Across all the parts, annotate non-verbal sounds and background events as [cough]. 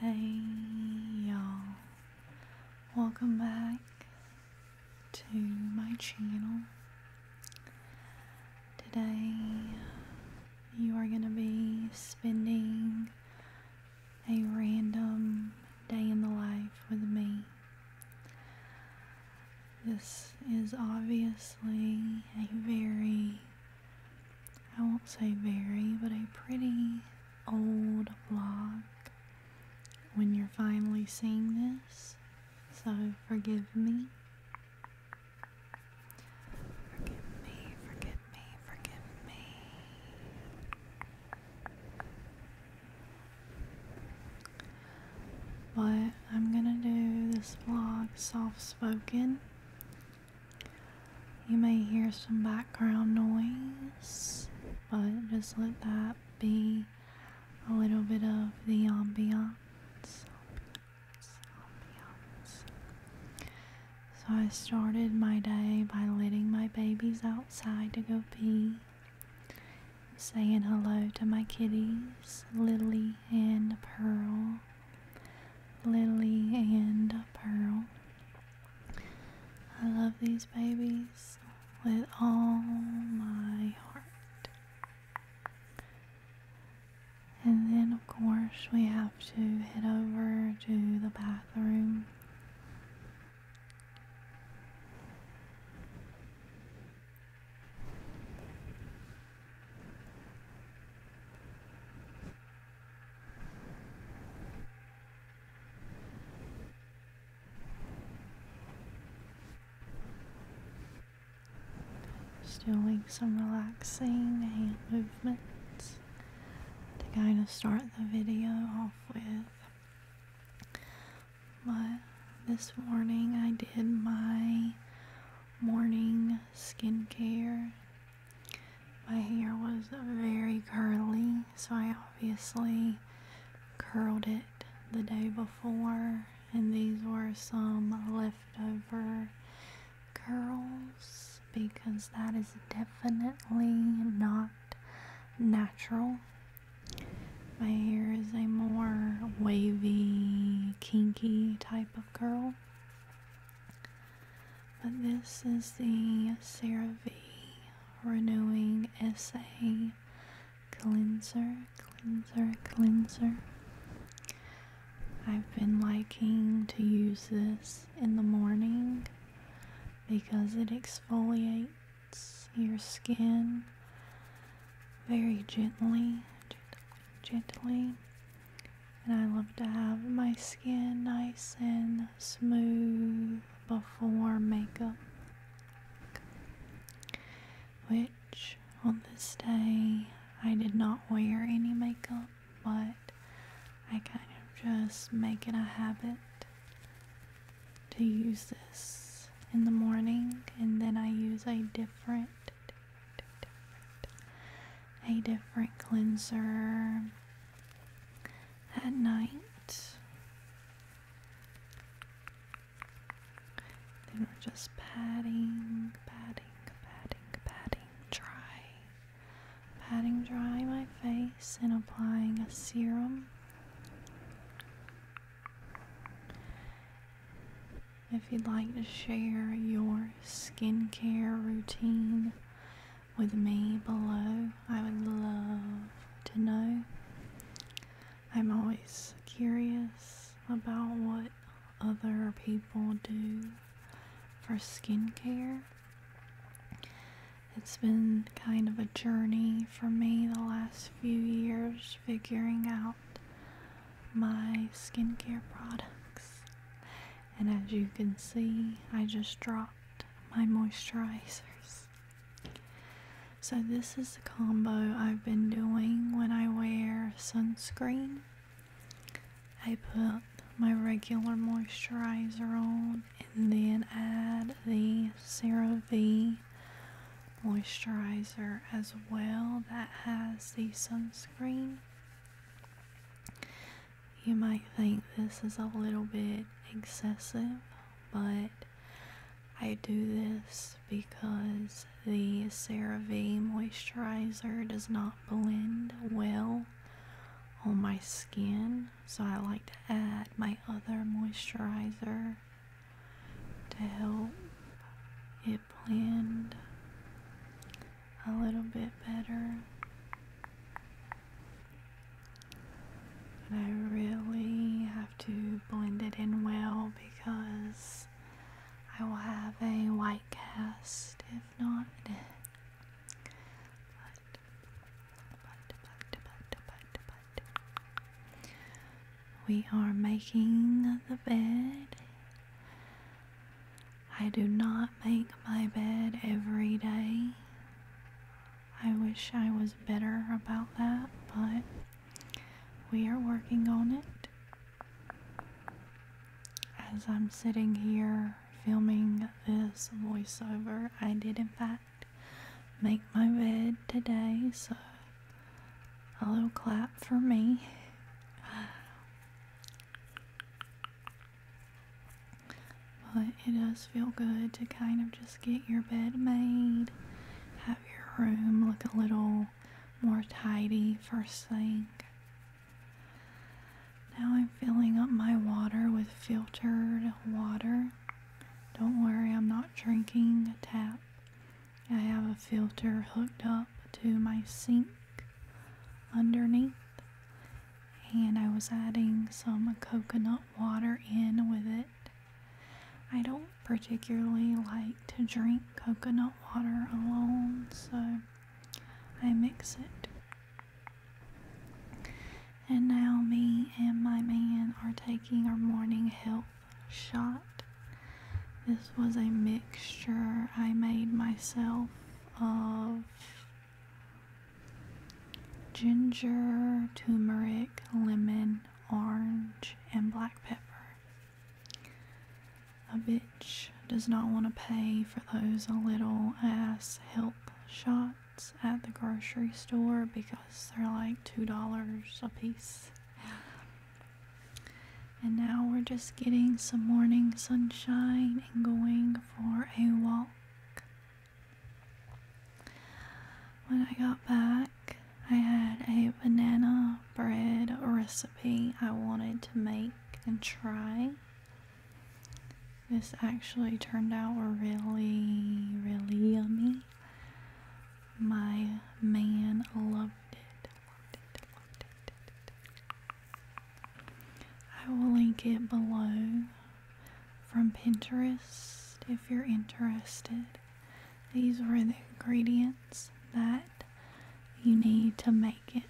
Hey y'all, welcome back to my channel. Today you are going to be spending a random day in the life with me. This is obviously a very I won't say very, but a pretty old vlog when you're finally seeing this. So forgive me. Forgive me, forgive me, forgive me. But I'm gonna do this vlog soft spoken you may hear some background noise, but just let that be a little bit of the ambiance. So I started my day by letting my babies outside to go pee, saying hello to my kitties, Lily and Pearl. Lily and Pearl. I love these babies with all my heart. And then, of course, we have to head over to the bathroom. Just doing some relaxing hand movements to kind of start the video off with. But this morning I did my morning skincare my hair was very curly, so I obviously curled it the day before, and these were some leftover curls because that is definitely not natural. My hair is a more wavy, kinky type of curl. But this is the CeraVe Renewing SA Cleanser, Cleanser, Cleanser. I've been liking to use this in the morning because it exfoliates your skin very gently, gently. And I love to have my skin nice and smooth before makeup. Which on this day I did not wear any makeup, but I kind of just make it a habit to use this in the morning, and then I use a different, a different cleanser at night. Then we're just patting, patting, patting, patting dry. Patting dry my face and applying a serum. If you'd like to share your skincare routine with me below. I would love to know. I'm always curious about what other people do for skincare. It's been kind of a journey for me the last few years figuring out my skincare products and as you can see I just dropped my moisturizers so this is the combo I've been doing when I wear sunscreen I put my regular moisturizer on and then add the CeraVe moisturizer as well that has the sunscreen you might think this is a little bit excessive, but I do this because the CeraVe moisturizer does not blend well on my skin, so I like to add my other moisturizer to help it blend a little bit better. And I really have to blend it in well because I will have a white cast if not. [laughs] We are making the bed. I do not make my bed every day. I wish I was better about that, but we are working on it. As I'm sitting here filming this voiceover, I did in fact make my bed today, so a little clap for me. But it does feel good to kind of just get your bed made, have your room look a little more tidy first thing. Now I'm filling up my water with filtered water. Don't worry, I'm not drinking a tap. I have a filter hooked up to my sink underneath and I was adding some coconut water in with it. I don't particularly like to drink coconut water alone, so I mix it. And now, me and my man are taking our morning health shot. This was a mixture I made myself of ginger, turmeric, lemon, orange, and black pepper. A bitch does not want to pay for those little ass help shots at the grocery store because they're like $2 a piece. And now we're just getting some morning sunshine and going for a walk. When I got back, I had a banana bread recipe I wanted to make and try. This actually turned out really, really yummy. My man loved it. I will link it below from Pinterest if you're interested. These were the ingredients that you need to make it.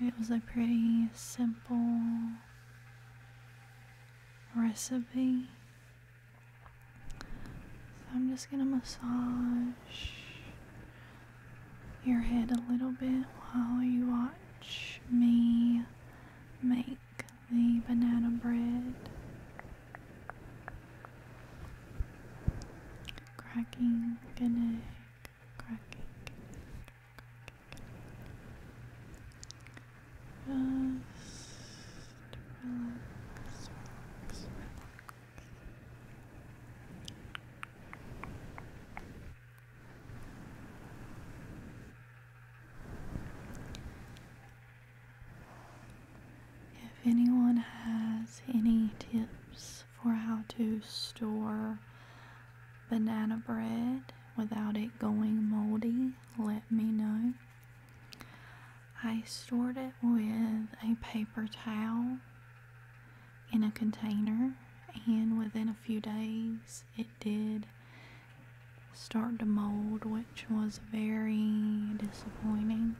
It was a pretty simple recipe. I'm just going to massage your head a little bit while you watch me make the banana bread. Cracking an cracking, cracking. relax. If anyone has any tips for how to store banana bread without it going moldy, let me know. I stored it with a paper towel in a container, and within a few days, it did start to mold, which was very disappointing.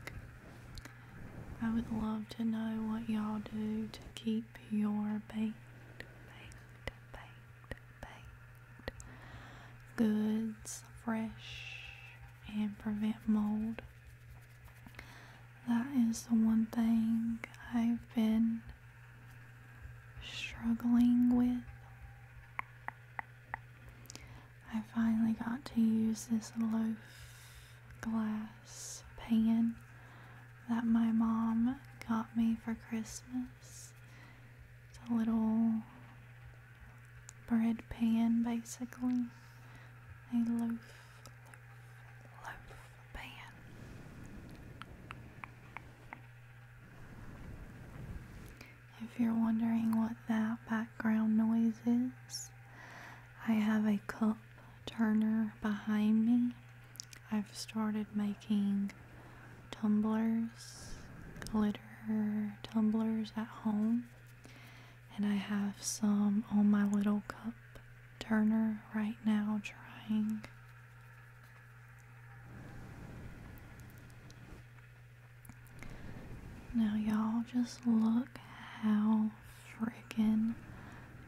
I would love to know what y'all do to keep your baked, baked, baked, baked goods fresh and prevent mold. That is the one thing I've been struggling with. I finally got to use this loaf glass pan that my mom got me for Christmas. It's a little bread pan basically. A loaf, loaf, loaf pan. If you're wondering what that background noise is, I have a cup turner behind me. I've started making tumblers, glitter tumblers at home, and I have some on my little cup turner right now drying. Now, y'all, just look how freaking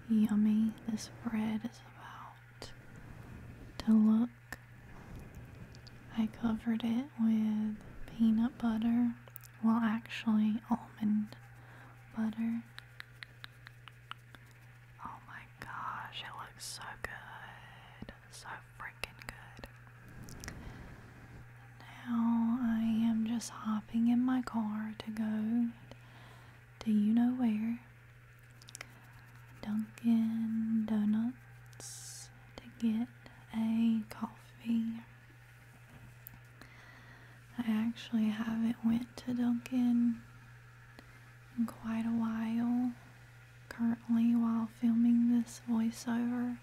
yummy this bread is about to look. I covered it with peanut butter, well, actually, almond butter. Oh my gosh, it looks so good. So freaking good. Now I am just hopping in my car to go Do you know where. Dunkin' Donuts to get a coffee. I actually haven't went to Dunkin' in quite a while currently while filming this voiceover,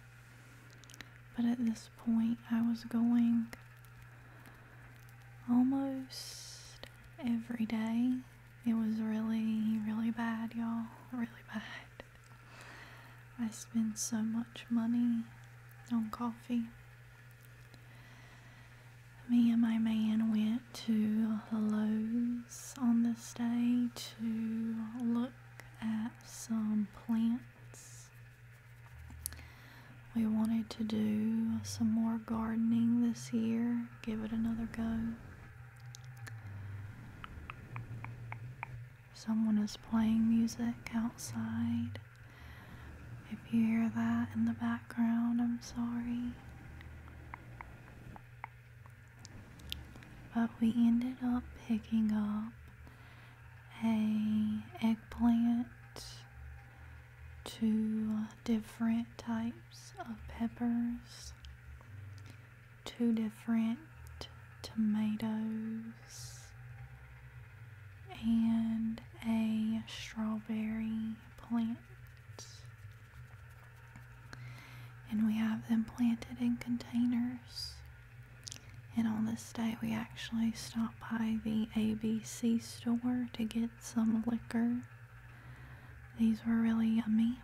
but at this point I was going almost every day. It was really, really bad, y'all. Really bad. I spend so much money on coffee me and my man went to the Lowe's on this day to look at some plants. We wanted to do some more gardening this year, give it another go. Someone is playing music outside. If you hear that in the background, I'm sorry. But we ended up picking up a eggplant, two different types of peppers, two different tomatoes, and a strawberry plant. And we have them planted in containers. And on this day, we actually stopped by the ABC store to get some liquor. These were really yummy.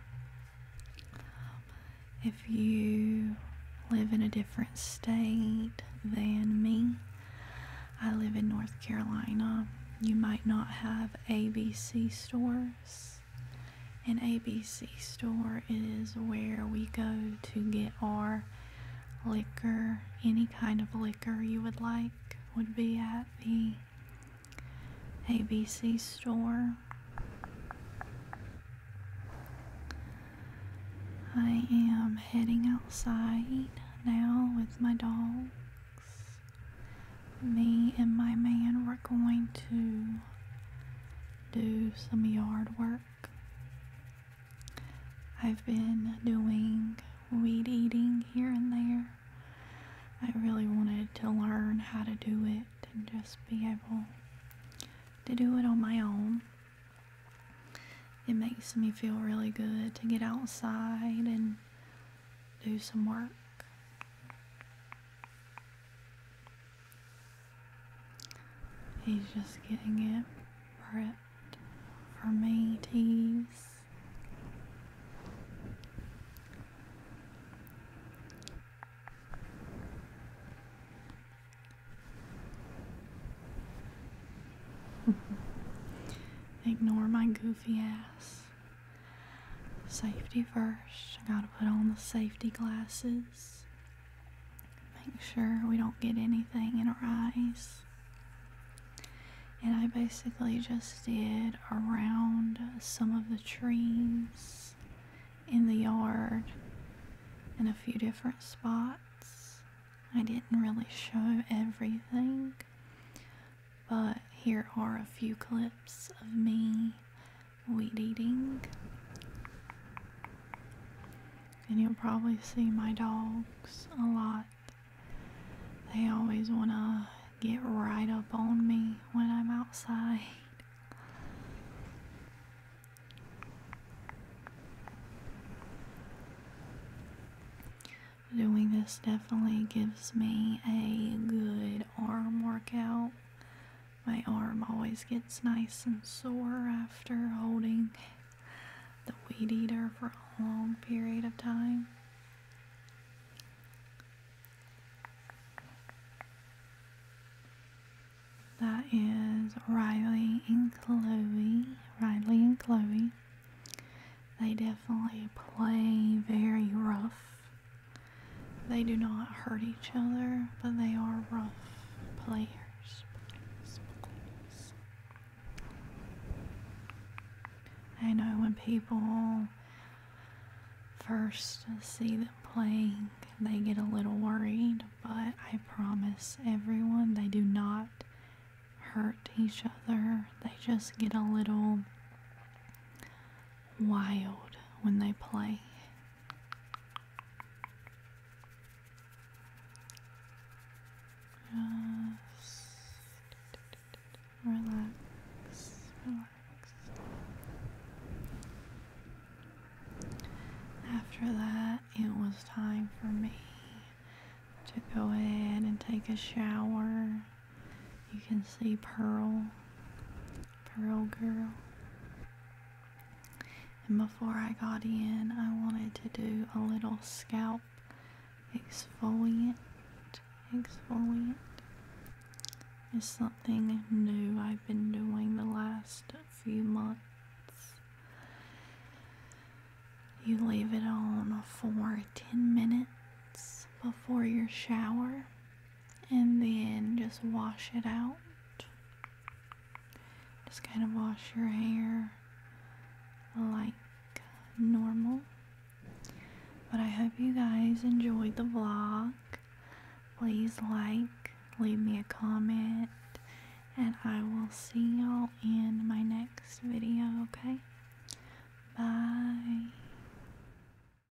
if you live in a different state than me, I live in North Carolina. You might not have ABC stores. An ABC store is where we go to get our liquor. Any kind of liquor you would like would be at the ABC store. I am heading outside now with my dog. Me and my man were going to do some yard work. I've been doing weed eating here and there. I really wanted to learn how to do it and just be able to do it on my own. It makes me feel really good to get outside and do some work. He's just getting it prepped for me tease. [laughs] Ignore my goofy ass. Safety first. I gotta put on the safety glasses. Make sure we don't get anything in our eyes. And I basically just did around some of the trees in the yard in a few different spots. I didn't really show everything, but here are a few clips of me weed eating. And you'll probably see my dogs a lot. They always want to get right up on me when I'm outside. Doing this definitely gives me a good arm workout. My arm always gets nice and sore after holding the weed eater for a long period of time. That is Riley and Chloe. Riley and Chloe. They definitely play very rough. They do not hurt each other, but they are rough players. I know when people first see them playing, they get a little worried, but I promise everyone they do not hurt each other. They just get a little wild when they play. Just relax, relax. After that, it was time for me to go ahead and take a shower. You can see Pearl, Pearl Girl. And before I got in, I wanted to do a little scalp exfoliant. Exfoliant is something new I've been doing the last few months. You leave it on for 10 minutes before your shower and then just wash it out. Just kind of wash your hair like normal. But I hope you guys enjoyed the vlog. Please like, leave me a comment, and I will see y'all in my next video, okay? Bye.